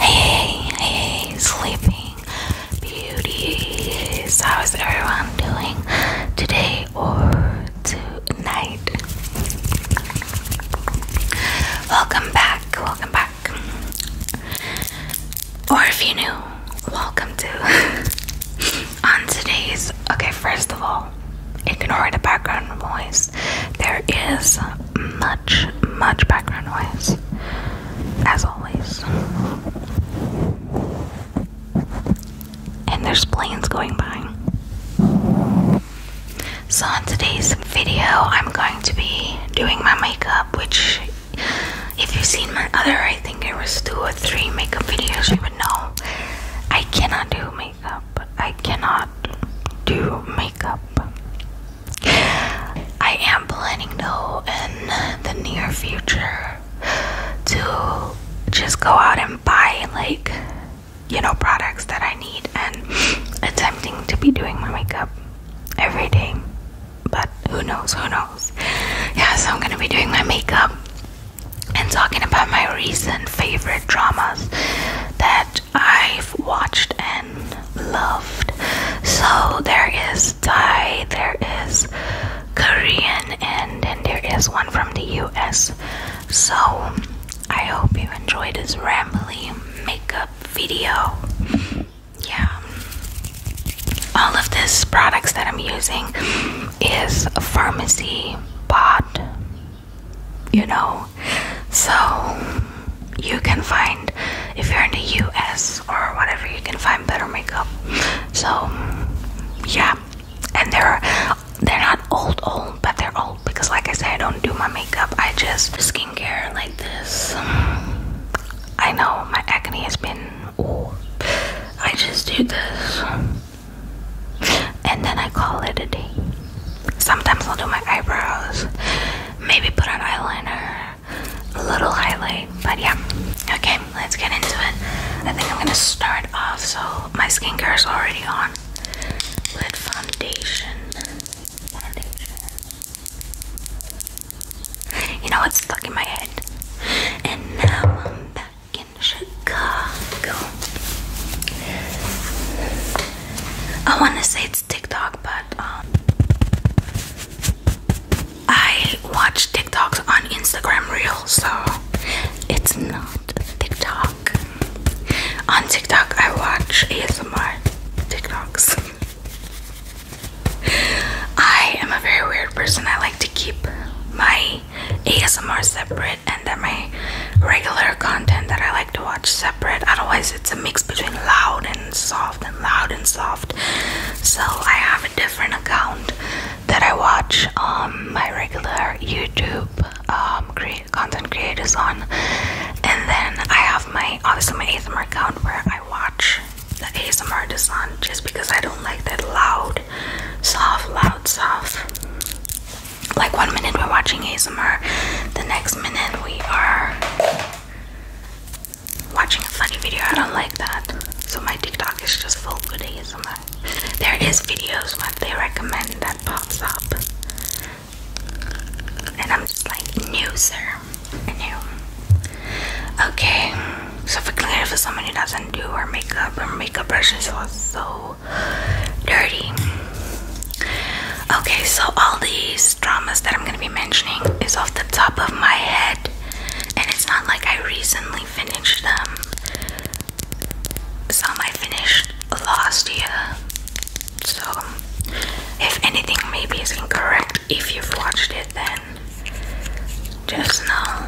Hey, hey, sleeping beauties. How is everyone doing today or tonight? Welcome back, welcome back. Or if you're new, welcome to on today's okay, first of all, ignore the background noise. There is much, much background noise, as always. And there's planes going by. So, on today's video, I'm going to be doing my makeup, which, if you've seen my other I think it was two or three makeup videos, but no, I cannot do makeup. I cannot do makeup. I am planning though in the near future to just go out and buy like you know products that I need and attempting to be doing my makeup every day. But who knows, who knows? Yeah, so I'm gonna be doing my makeup and talking about my recent favorite dramas that I've watched and loved. So there is Thai, there is Korean, and then there is one from the US. So I hope you enjoyed this rambling makeup video. Yeah. All of these products that I'm using is a pharmacy bot, you know. So you can find, if you're in the US or whatever, you can find better makeup. So yeah, and they're they're not old old, but they're old because, like I said, I don't do my makeup. I just skincare like this. I know my agony has been. Ooh, I just do this and then I call it a day. Sometimes I'll do my eyebrows, maybe put on eyeliner, a little highlight, but yeah. Okay, let's get into it. I think I'm gonna start off. So, my skincare is already on with foundation. You know, what's stuck in my head. And now I'm back in Chicago. I want to say it's TikTok, but um, I watch TikToks on Instagram Reels, so it's not TikTok. On TikTok, I watch ASMR TikToks. I am a very weird person. I like to keep my my ASMR separate and then my regular content that I like to watch separate. Otherwise, it's a mix between loud and soft and loud and soft. So I have a different account that I watch um, my regular YouTube um, content creators on, and then I have my obviously my ASMR account where I watch the ASMR design just because I don't like that loud soft, loud, soft. Like one minute we're watching ASMR, the next minute we are watching a funny video. I don't like that. So my TikTok is just full with ASMR. There is videos what they recommend that pops up. And I'm just like, new sir. New. Okay. So if I specifically for someone who doesn't do her makeup. Her makeup brushes are so dirty. Okay, so all these dramas that I'm gonna be mentioning is off the top of my head, and it's not like I recently finished them. Some I finished last year, so if anything maybe is incorrect, if you've watched it, then just know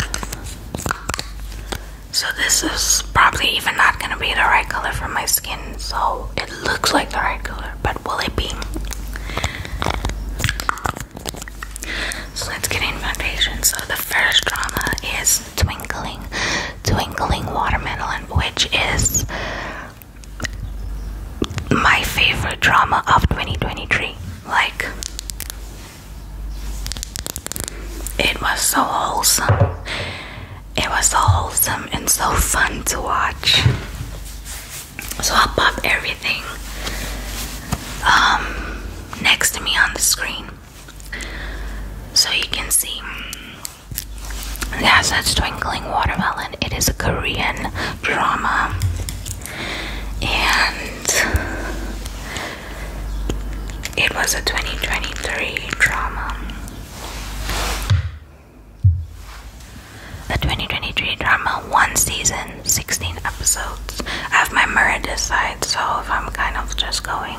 so this is probably even not gonna be the right color for my skin. So it looks like the right color, but will it be? So let's get in foundation. So the first drama is Twinkling, Twinkling Watermelon, which is my favorite drama of 2023. Like it was so wholesome. It was so wholesome and so fun to watch. So I'll pop everything um, next to me on the screen so you can see. That's such twinkling watermelon. It is a Korean drama and it was a 2023 drama. A 2023 drama, one season, 16 episodes. I have my mirror this side, so if I'm kind of just going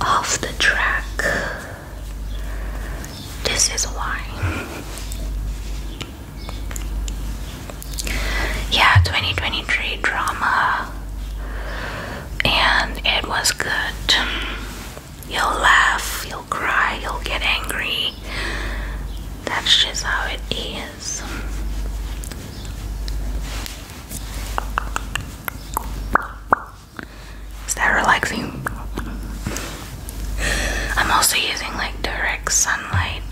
off the track, this is why. Yeah, 2023 drama, and it was good. You'll laugh, you'll cry, you'll get angry. That's just how it is. Is that relaxing? I'm also using like direct sunlight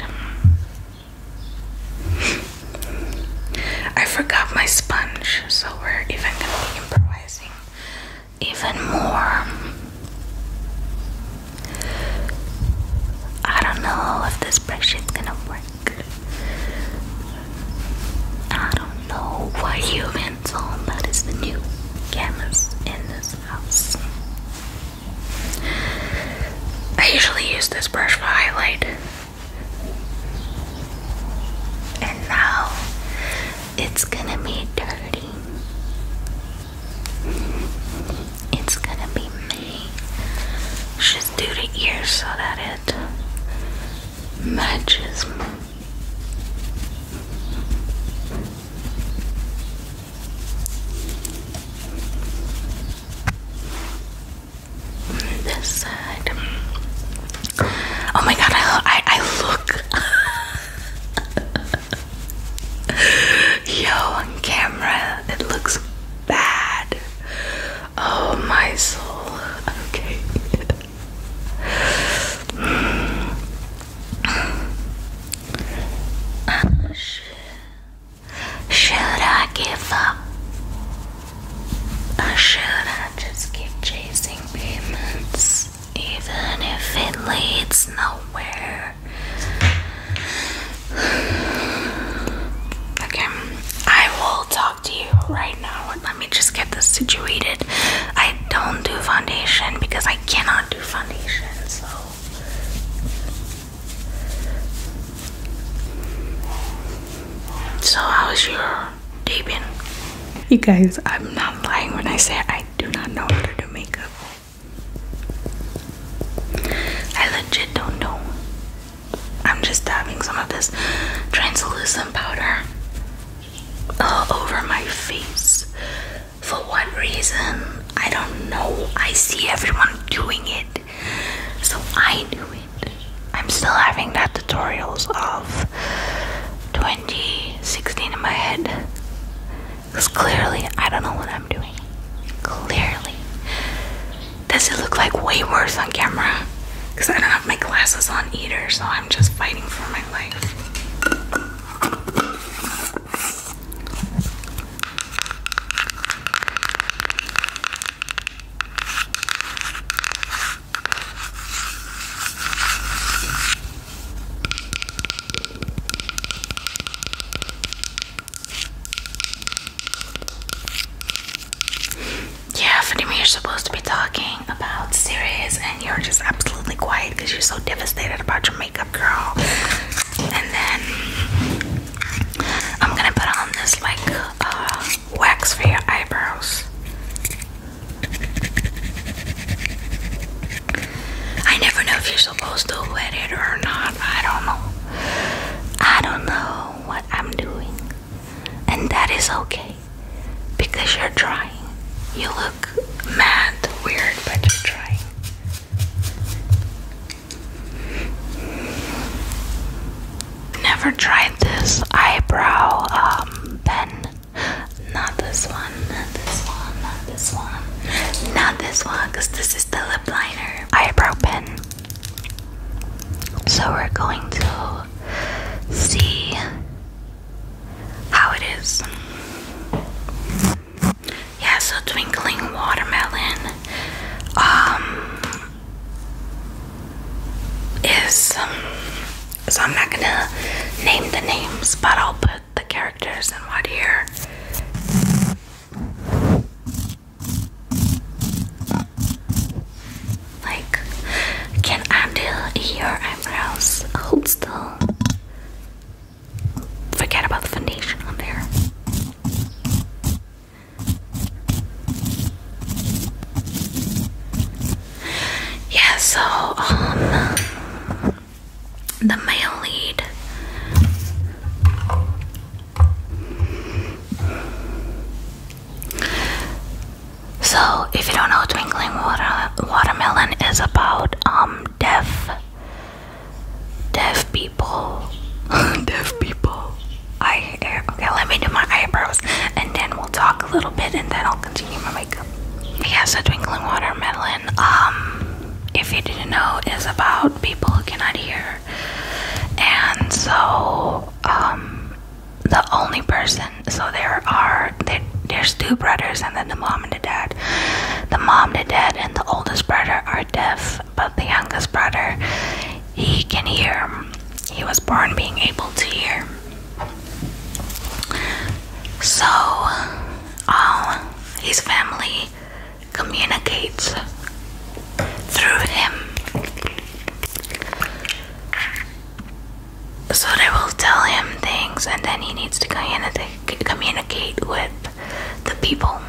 I forgot my sponge, so we're even gonna be improvising even more. I don't know if this spreadsheet's gonna work. I don't know what humans on that is the new cameras in this house. I usually use this brush for highlight. And now it's gonna be dirty. It's gonna be me. Just do the ears so that it matches. This side. Oh my god, I, I, I look. Yo, camera, it looks bad. Oh my soul. Okay. oh shit. Should I give up? Or should I just keep chasing payments, even if it leads nowhere? Okay, I will talk to you right now. Let me just get this situated. I don't do foundation because I cannot do foundation, so so, how's your day You guys, I'm not lying when I say I do not know how to do makeup. I legit don't know. I'm just dabbing some of this translucent powder all uh, over my face. For what reason? I don't know. I see everyone doing it. So I do it. I'm still having that tutorials of 2016 in my head. Because clearly I don't know what I'm doing. Clearly. Does it look like way worse on camera? Because I don't have my glasses on either, so I'm just fighting for my life. Yeah, Fatima, you're supposed to be talking about serious and you're just absolutely quiet because you're so devastated about your makeup, girl. And then I'm gonna put on this like uh, wax for your eyebrows. I never know if you're supposed to wet it or not. I don't know. I don't know what I'm doing. And that is okay. Because you're trying. You look mad, weird, but you're trying. Never tried this eyebrow um, pen. Not this one, not this one, not this one, not this one, because this is the lip liner eyebrow pen. So we're going to see how it is. Yeah, so twinkling watermelon um is um, so I'm not gonna name the names, but I'll put the characters in what here. Like, can I do your eyebrows? Hold still forget about the foundation on there. Yeah, so um the male lead so if you don't know twinkling water watermelon is about um deaf deaf people deaf people I okay let me do my eyebrows and then we'll talk a little bit and then I'll continue my makeup yeah so twinkling watermelon um if you didn't know is about people who cannot hear and so um the only person so there are there, there's two brothers and then the mom and the dad the mom the dad and the oldest brother are deaf but the youngest brother, he can hear. He was born being able to hear. So, his family communicates through him. So they will tell him things, and then he needs to communicate communicate with the people.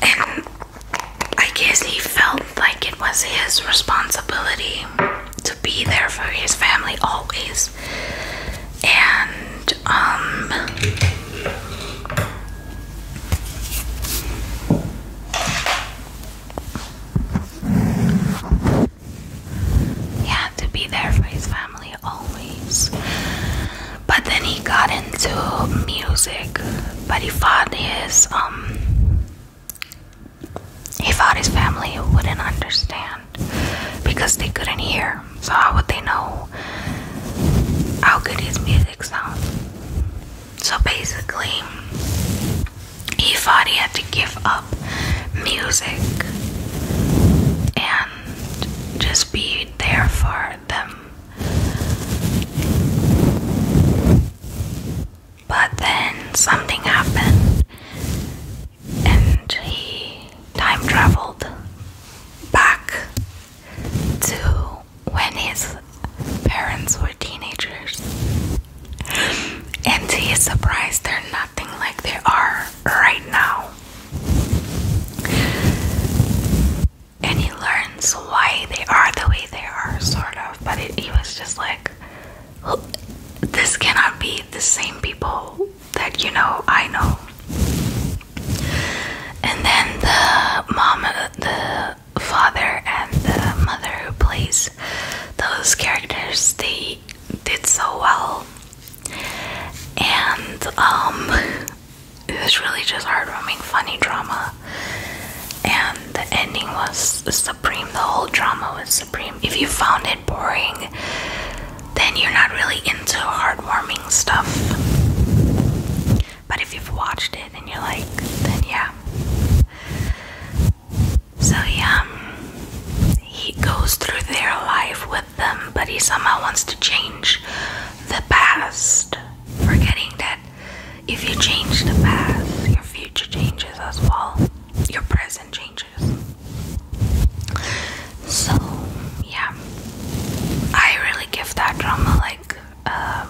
And I guess he felt like it was his responsibility to be there for his family always. And, um, yeah, to be there for his family always. But then he got into music, but he fought his um he thought his family wouldn't understand because they couldn't hear. So how would they know how good his music sound? So basically, he thought he had to give up music and just be there for them. But then something happened and he time traveled back to when his parents were teenagers. And to his surprise, they're nothing like they are right now and he learns why they are the way they are, sort of. But he was just like, this cannot be the same people that you know I know. And then the mom, the father, and the mother who plays those characters, they did so well and um, it was really just heartwarming funny drama and the ending was supreme the whole drama was supreme if you found it boring then you're not really into heartwarming stuff but if you've watched it and you're like then yeah so yeah um, he goes through their life with them, but he somehow wants to change the past, forgetting that if you change the past, your future changes as well, your present changes. So, yeah, I really give that drama like uh,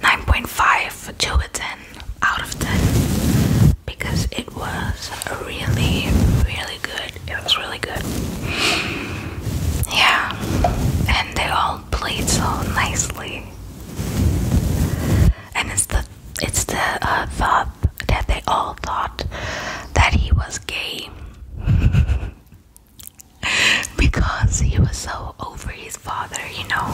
9.5, 2 out 10 out of 10 because it it was really, really good. It was really good. Yeah, and they all played so nicely. And it's the it's the uh, thought that they all thought that he was gay because he was so over his father, you know.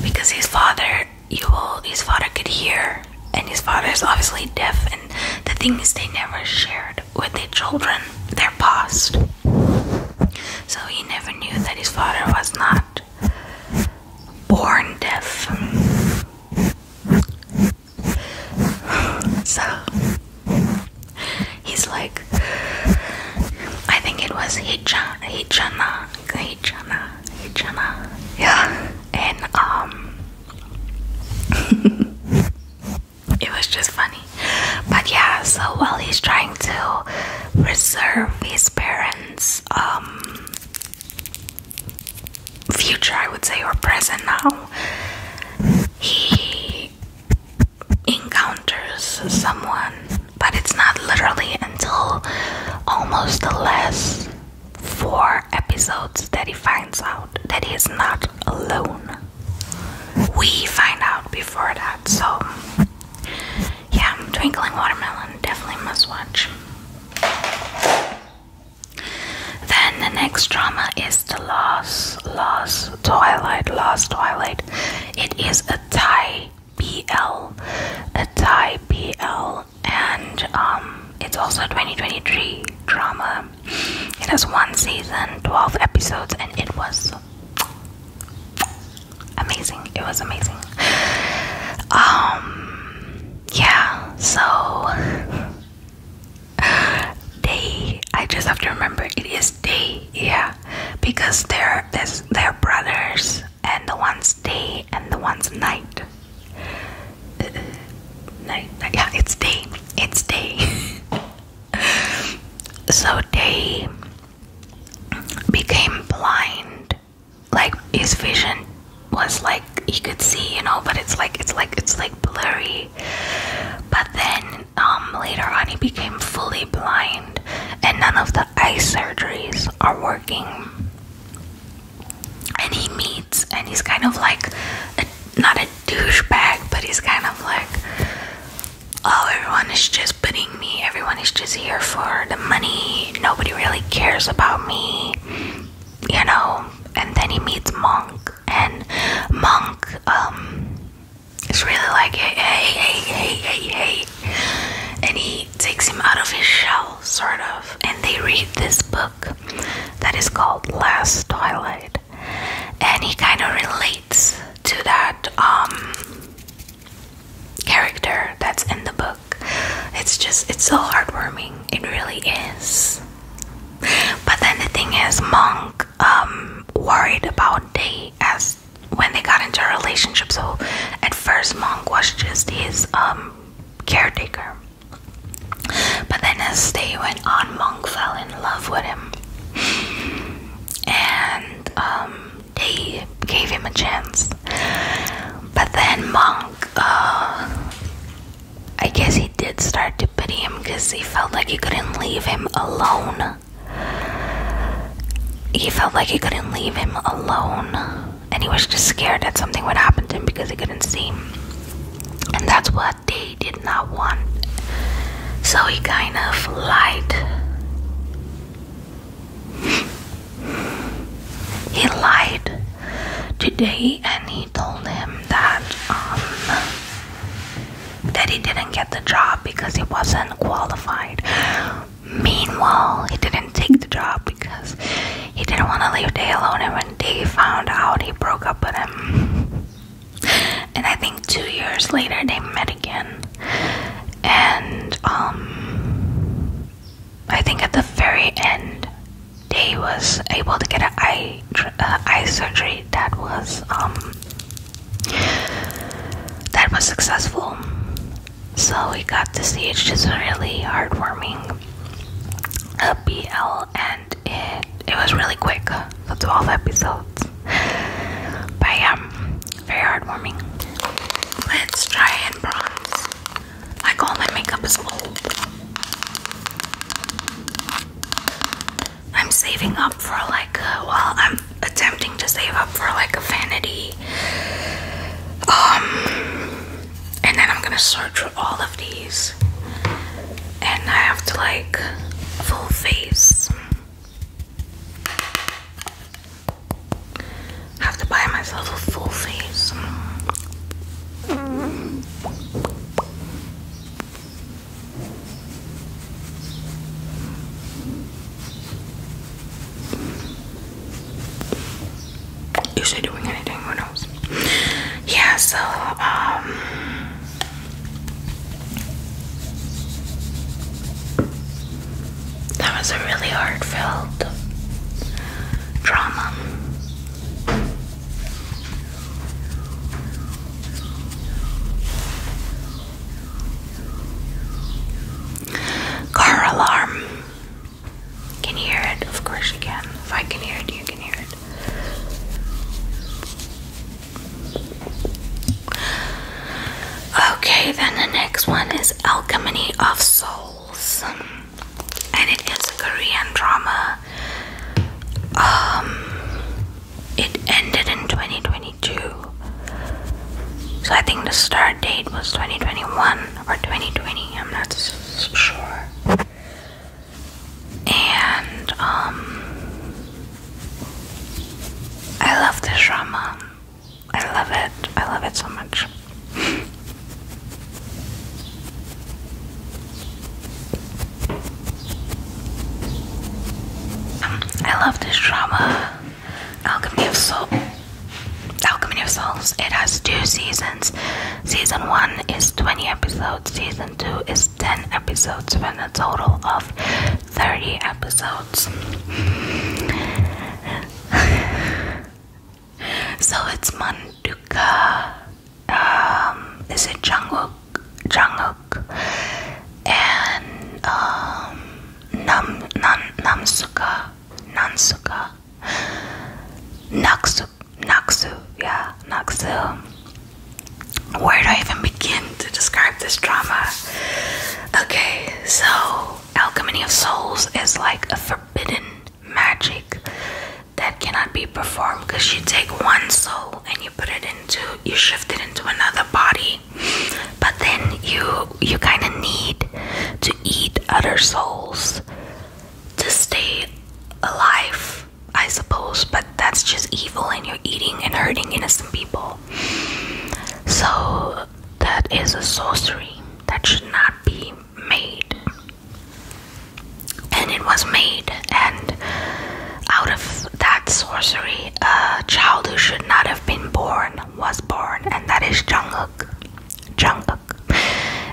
Because his father, you will, his father could hear and his father is obviously deaf, and the thing is, they never shared with their children their past. So he never knew that his father was not born deaf. So he's like, I think it was Hijana, Hijana, Hijana, Hijana, yeah. And um, it was just funny. But yeah, so while he's trying to preserve his parents' um, future, I would say, or present now, he encounters someone, but it's not literally until almost the last four episodes that he finds out that he is not alone. We find out before that, so yeah, Twinkling Watermelon definitely must watch. Then the next drama is The Lost, Lost Twilight, Lost Twilight. It is a Thai BL, a BL and um, it's also 2023 drama it has one season 12 episodes and it was amazing it was amazing um yeah so they i just have to remember it is day. yeah because there's they're brothers and the one's day and the one's night uh, yeah, it's day. It's day. so day became blind. Like his vision was like he could see, you know, but it's like it's like it's like blurry. But then um, later on, he became fully blind, and none of the eye surgeries are working and he meets and he's kind of like not a douchebag but he's kind of like oh everyone is just putting me everyone is just here for the money nobody really cares about me you know and then he meets monk and monk um is really like hey hey hey hey hey and he takes him out of his shell sort of and they read this book that is called Last Twilight, and he kind of relates to that um, character that's in the book. It's just, it's so heartwarming. It really is. But then the thing is, Monk um, worried about Day as when they got into a relationship. So at first, Monk was just his um, caretaker. But then as they went on, Monk fell in love with him. And um, gave him a chance. But then Monk, uh, I guess he did start to pity him because he felt like he couldn't leave him alone. He felt like he couldn't leave him alone and he was just scared that something would happen to him because he couldn't see. And that's what they did not want. So he kind of lied. He lied today and he told him that um that he didn't get the job because he wasn't qualified. Meanwhile, he didn't take the job because he didn't want to leave Day alone, and when Day found out, he broke up with him. and I think two years later, they met again. And, um, I think at the very end, Day was able to get an eye, uh, eye surgery that was, um, that was successful. So we got to see it's just really heartwarming a and it it was really quick so 12 episodes but yeah very heartwarming let's try and bronze like all my makeup is old I'm saving up for like a, uh, I'm attempting to save up for like a vanity um and then I'm gonna search for all of these, and I have to like full face. have to buy myself a full face is she doing anything? Who knows? Yeah, so um that was a really heartfelt drama. Car alarm. Can you hear it? Of course you can. If I can hear it, you can hear it. Okay, then the next one is Alchemy of Souls. And it is a Korean drama. Um it ended in 2022. So I think the start date was 2021 or 2020. I'm not sure and um I love this drama. I love it. I love it so much. I love this drama. Alchemy of Soul. Alchemy of It has two seasons. Season 1 is 20 episodes, season 2 is 10 episodes, and a total of 30 episodes. so it's Manduka. Um, is it Jungkook? Jungkook and um, Nam Nam Namsuka, Nansuka, Naksu, Naksu, yeah, Naksu. Where do I even begin to describe this drama? Okay, so Alchemy of Souls is like a forbidden magic that cannot be performed because you take one soul and you put it into you shift it into another body but then you you kind of need to eat other souls to stay alive, I suppose, but that's just evil and you're eating and hurting innocent people. So that is a sorcery that should not be made. And it was made, and out of that sorcery, a child who should not have been born was born, and that is Jungkook. Jungkook.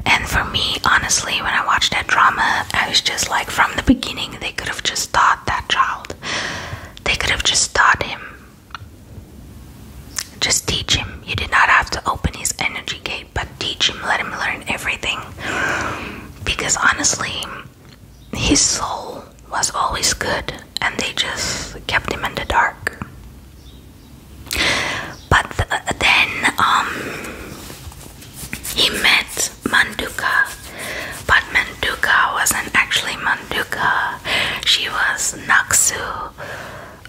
And for me, honestly, when I watched that drama, I was just like, from the beginning, they could have just taught that child. They could have just taught him. Just teach him. You did not have to open his energy gate, but teach him, let him learn everything. Because honestly, his soul was always good, and they just kept him in the dark. But uh, then um, he met Manduka, but Manduka wasn't actually Manduka. She was Naxu,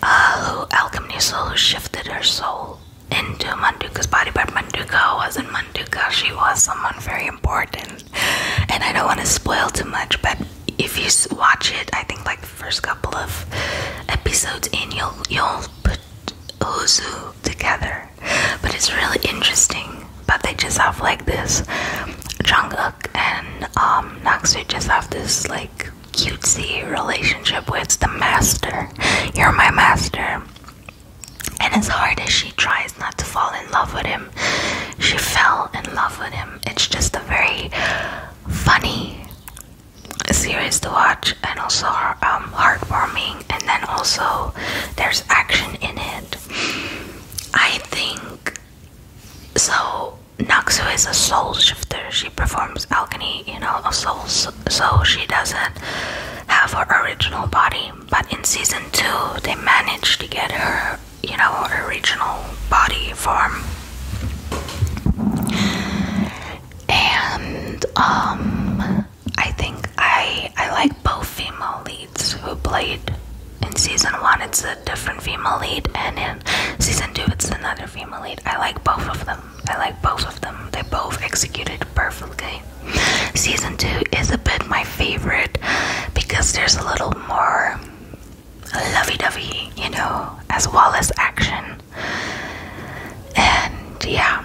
uh, who alchemy soul shifted her soul into Manduka's body. But Manduka wasn't Manduka. She was someone very important, and I don't want to spoil too much. But if you watch it, I think like first couple of episodes and you'll you'll put Ozu together. But it's really interesting. But they just have like this Jung Jungkook and um Naksu just have this like cutesy relationship with the master. You're my master. And as hard as she tries not to fall in love with him, she fell in love with him. It's just a very funny a series to watch and also um, heartwarming and then also there's action in it i think so Naksu is a soul shifter she performs alchemy you know so she doesn't have her original body but in season 2 they managed to get her you know original body form and um I think I I like both female leads who played in season one it's a different female lead and in season two it's another female lead. I like both of them. I like both of them. They both executed perfectly. Season two is a bit my favorite because there's a little more lovey dovey, you know, as well as action and yeah,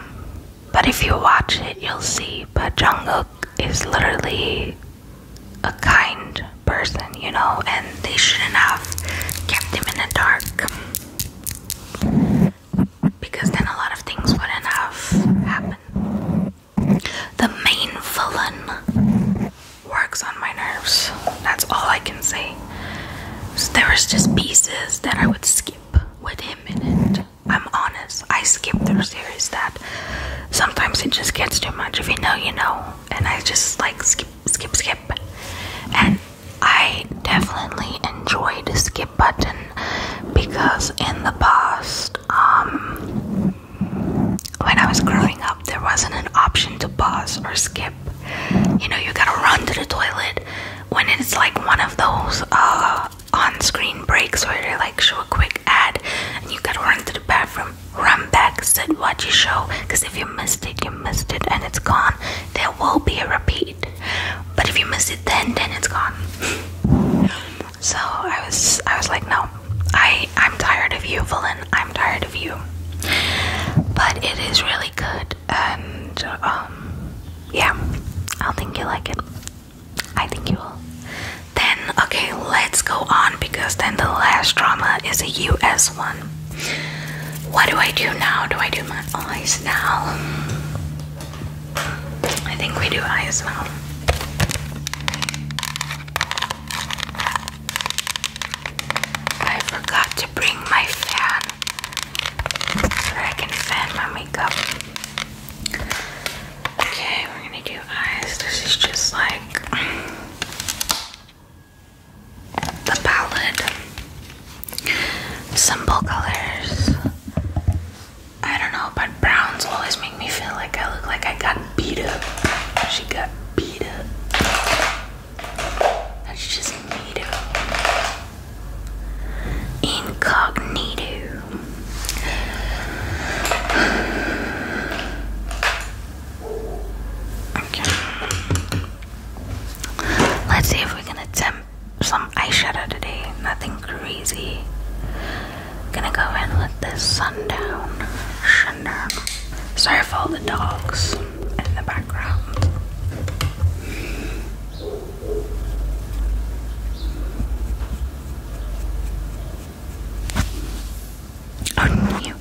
but if you watch it, you'll see. But Jungkook is literally a kind person, you know, and they shouldn't have kept him in the dark because then a lot of things wouldn't have happened. The main villain works on my nerves. That's all I can say. So there was just pieces that I would skip with him and I'm honest. I skip through series that sometimes it just gets too much. If you know, you know. And I just like skip, skip, skip. And I definitely enjoy the skip button because in the past, um, when I was growing up, there wasn't an option to pause or skip. You know, you gotta run to the toilet when it's like one of those uh, on screen breaks where they like show a quick ad and you gotta run to the bathroom, run back, sit, watch your show. Because if you missed it, you missed it and it's gone. There will be a repeat. But if you miss it then, then it's gone. so I was, I was like, no, I, I'm tired of you, villain. I'm tired of you. But it is really really and um, yeah, I think you like it. I think you will. Then, okay, let's go on because then the last drama is a US one. What do I do now? Do I do my eyes now? I think we do eyes now. I forgot to bring my fan so I can fan my makeup. Okay, we're gonna do eyes. This is just like the palette. Simple colors. I don't know, but browns always make me feel like I look like I got beat up. She got beat up. That's just neato. Incognito. Okay. Let's see if we can attempt some eyeshadow today. Nothing crazy. Gonna go in with this sundown. Sundown. Sorry for all the dogs in the background. On you.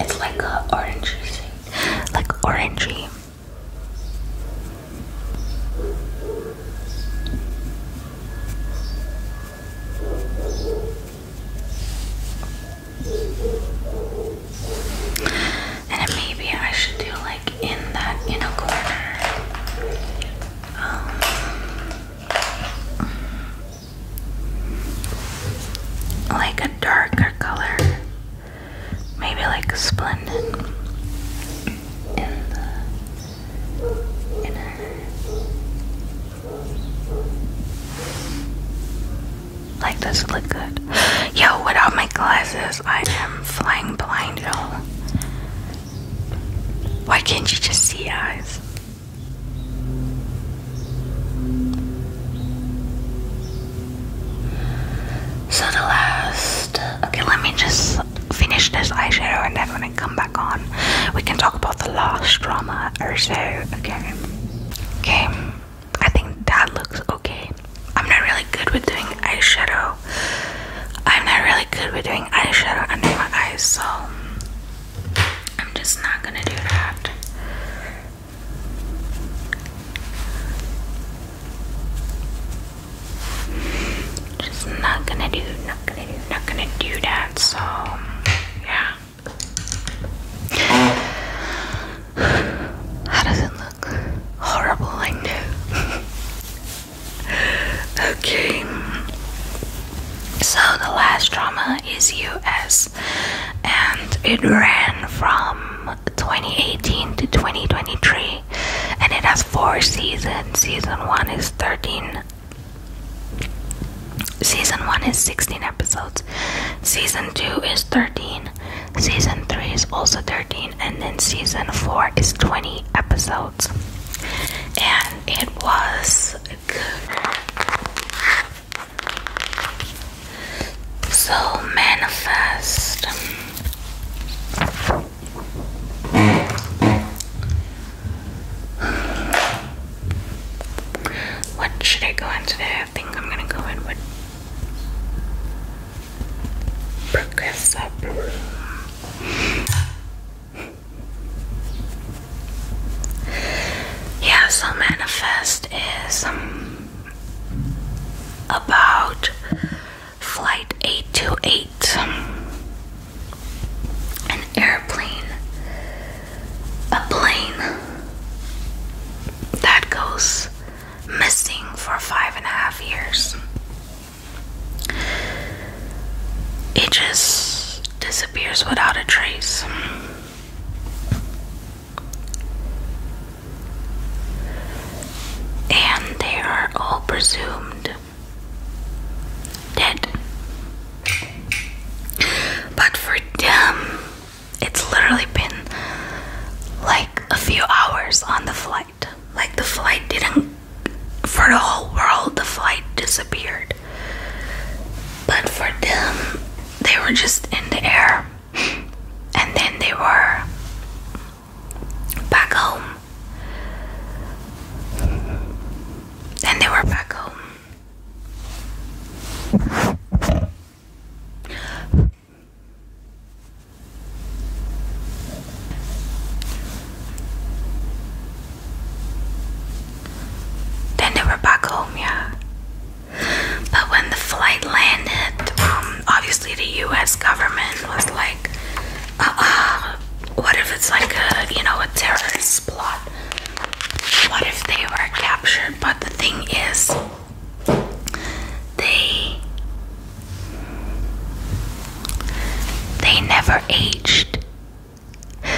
It's like a orangey shade, like orangey. And maybe I should do like in that inner corner. Um, like a darker color, maybe like Splendid in the inner. Like this look good. Yo, without my glasses, I am flying blind, y'all. Why can't you just see eyes? So the last. Okay, let me just finish this eyeshadow and then when I come back on, we can talk about the last drama or so. Okay. Okay. I think that looks okay. I'm not really good with doing eyeshadow I'm not really good with doing eyeshadow under my eyes, so I'm just not gonna do that. Just not gonna do, not gonna not gonna do that. So, yeah. How does it look? Horrible, I know. okay. So the last drama is US and it ran from 2018 to 2023 and it has four seasons. Season 1 is 13 Season 1 is 16 episodes. Season 2 is 13. Season 3 is also 13 and then season 4 is 20 episodes. And it was So manifest. What should I go in today? I think I'm gonna go in with progressive Yes, so manifest is um, about flight 828, an airplane, a plane that goes missing for five and a half years. It just disappears without a trace. And they are all presumed dead. But for them, it's literally been like a few hours on the flight like the flight didn't for the whole world the flight disappeared. But for them they were just in the air and then they were back home. And they were back home. Then they were back home, yeah. But when the flight landed, um, obviously the US government was like, uh what if it's like a, you know, a terrorist plot? What if they were captured? But the thing is, they they never aged.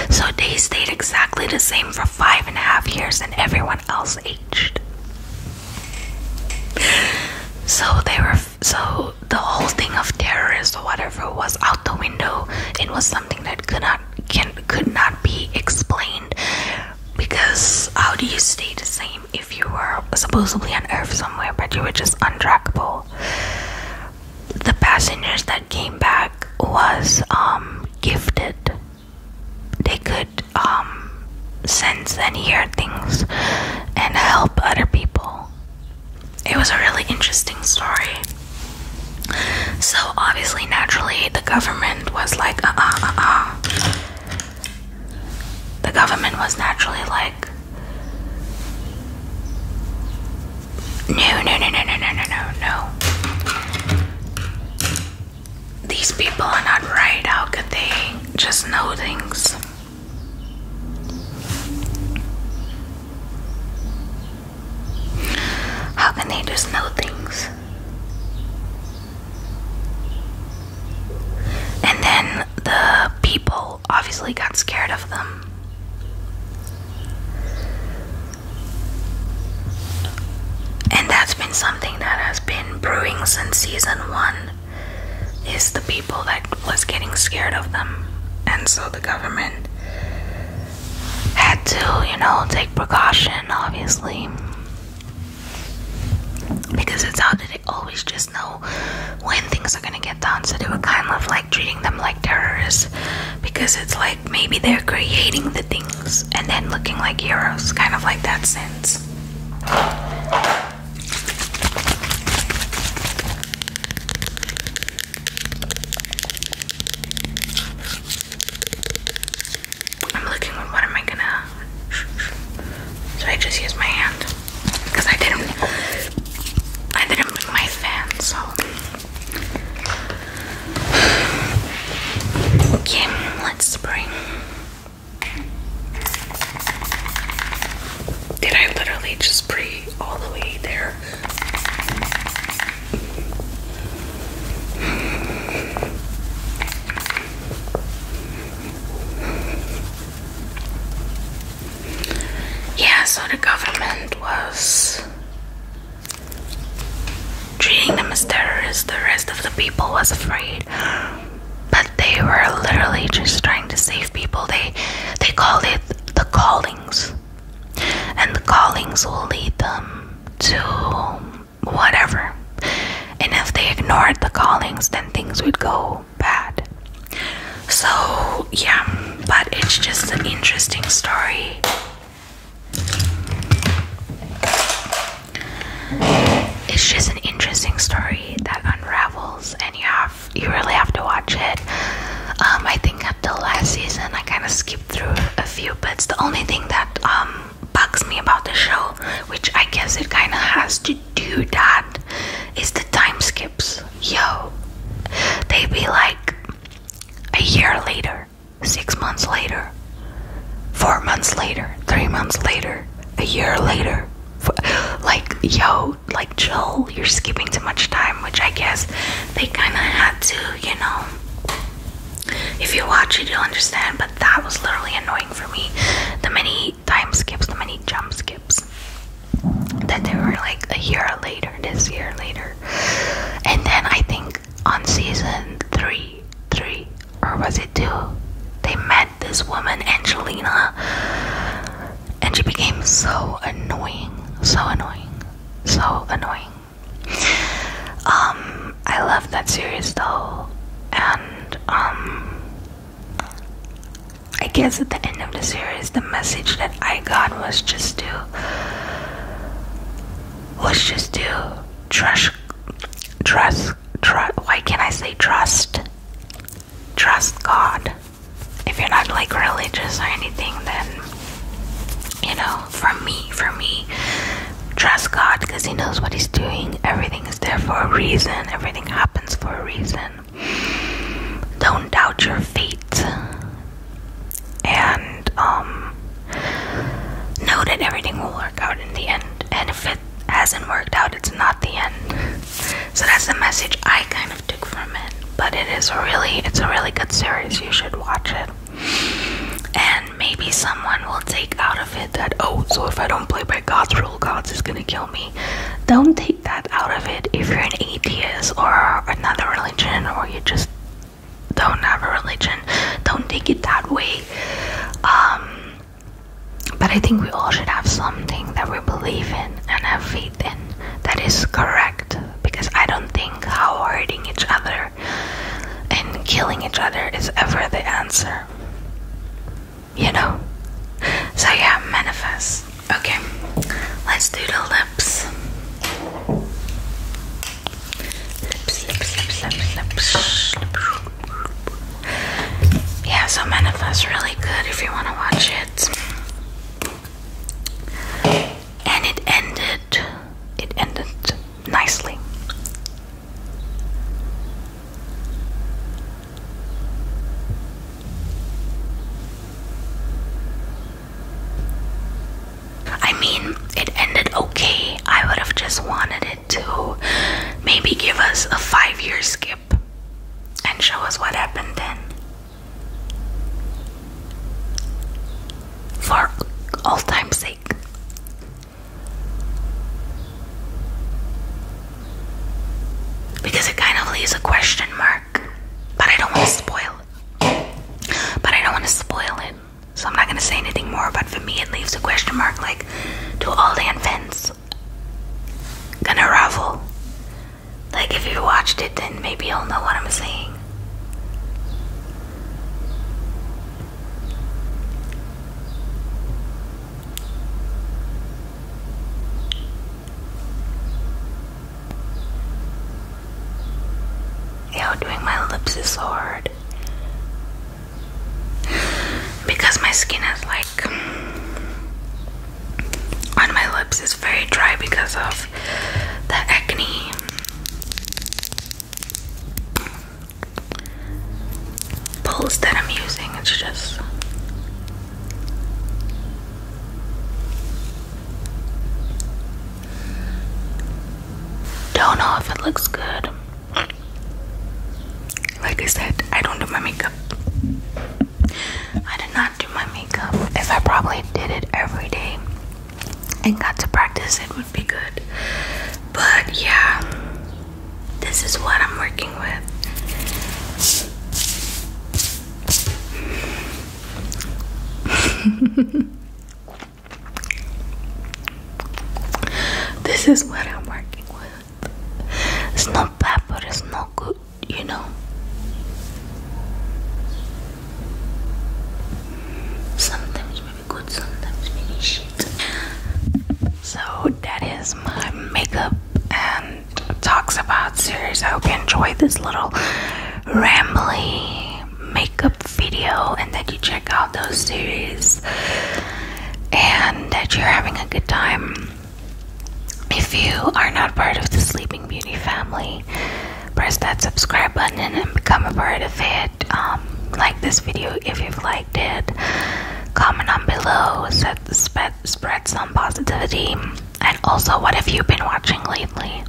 So they stayed exactly the same for five and a half years, and everyone else aged. So they were. So the whole thing of terrorist or whatever was out the window. It was something that could not can could not be explained because how do you stay the same if you were supposedly on Earth somewhere but you were just untrackable? the passengers that came back was um, gifted. They could um, sense and hear things and help other people. It was a really interesting story. So, obviously, naturally, the government was like, uh uh uh uh. The government was naturally like, no, no, no, no, no, no, no, no, no. These people are not right. How could they just know things? How can they just know things? And then the people obviously got scared of them. And that's been something that has been brewing since season one is the people that was getting scared of them. And so the government had to, you know, take precaution obviously. Because it's how did they always just know when things are gonna get done, so they were kind of like treating them like terrorists because it's like maybe they're creating the things and then looking like heroes, kind of like that sense. I'm looking. What am I gonna? So I just use my hand. Cause I didn't, I didn't bring my fan, so okay, let's spray. Did I literally just spray all the way there? Yeah, so the government was treating them as terrorists, the rest of the people was afraid. But they were literally just trying to save people. They they called it the callings. And the callings will lead them to whatever. And if they ignored the callings, then things would go so bad. So, yeah, but it's just an interesting story. It's just an interesting story that unravels, and you have you really have to watch it. Um, I think up until last season, I kind of skipped through a few bits. The only thing that um, bugs me about the show, which I guess it kind of has to do that is the time skips. Yo, they be like a year later, six months later, four months later, three months later, a year later. like, yo, like, chill, you're skipping too much time, which I guess they kind of had to, you know. If you watch it, you'll understand, but that was literally annoying for me. The many time skips, the many jump skips that they were like a year later, this year later. And then I think on season three, three, or was it two, they met this woman, Angelina, and she became so annoying, so annoying, so annoying. Um, I love that series though, and um, I guess at the end of the series, the message that I got was just to was just to trust, trust, trust. Why can't I say trust? Trust God. If you're not like religious or anything, then you know. For me, for me, trust God because He knows what He's doing. Everything is there for a reason. Everything happens for a reason. Don't doubt your fate. And um know that everything will work out in the end. And if it hasn't worked out, it's not the end. So that's the message I kind of took from it. But it is really it's a really good series. You should watch it. And maybe someone will take out of it that oh, so if I don't play by God's gods is gonna kill me. Don't take that out of it if you're an atheist or another religion or you just don't have a religion. Don't take it that way. Um, but I think we all should have something that we believe in and have faith in that is correct because I don't think how hurting each other and killing each other is ever the answer you know. So yeah, manifest. Okay, let's do the lips. Lips, lips, lips, lips, lips. Yeah, so manifest really good if you want to watch it. And it ended. It ended nicely. I mean, it ended okay. I would have just wanted it to maybe give us a five year skip and show us what happened then. For all time's sake. Because it kind of leaves a question mark. But I don't want to spoil it. But I don't want to spoil it. So I'm not going to say anything more. But for me, it leaves a question mark like, do all the infants gonna ravel? Like, if you watched it, then maybe you'll know what I'm saying. Yo, doing my lips is hard because my skin is like on my lips is very dry because of the acne. Pulls that I'm using, it's just don't know if it looks good. Like I said, I don't do my makeup. I did not do my makeup. If I probably did it every day and got to practice, it would be good. But yeah, this is what I'm working with. this is what I'm working with. It's not bad, but it's not good, you know. Sometimes maybe good, sometimes maybe shit. So that is my makeup and talks about series. I hope you enjoyed this little rambly makeup video and that you check out those series and that you're having a good time. If you are not part of the Sleeping Beauty family, press that subscribe button and become a part of it. Um, like this video if you've liked it. Comment down below spread, spread, some positivity. And also, what have you been watching lately?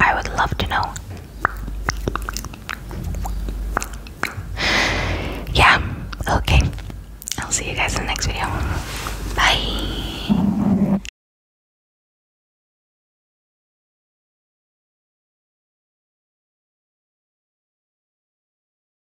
I would love to know. Yeah, okay. I'll see you guys in the next video. Bye.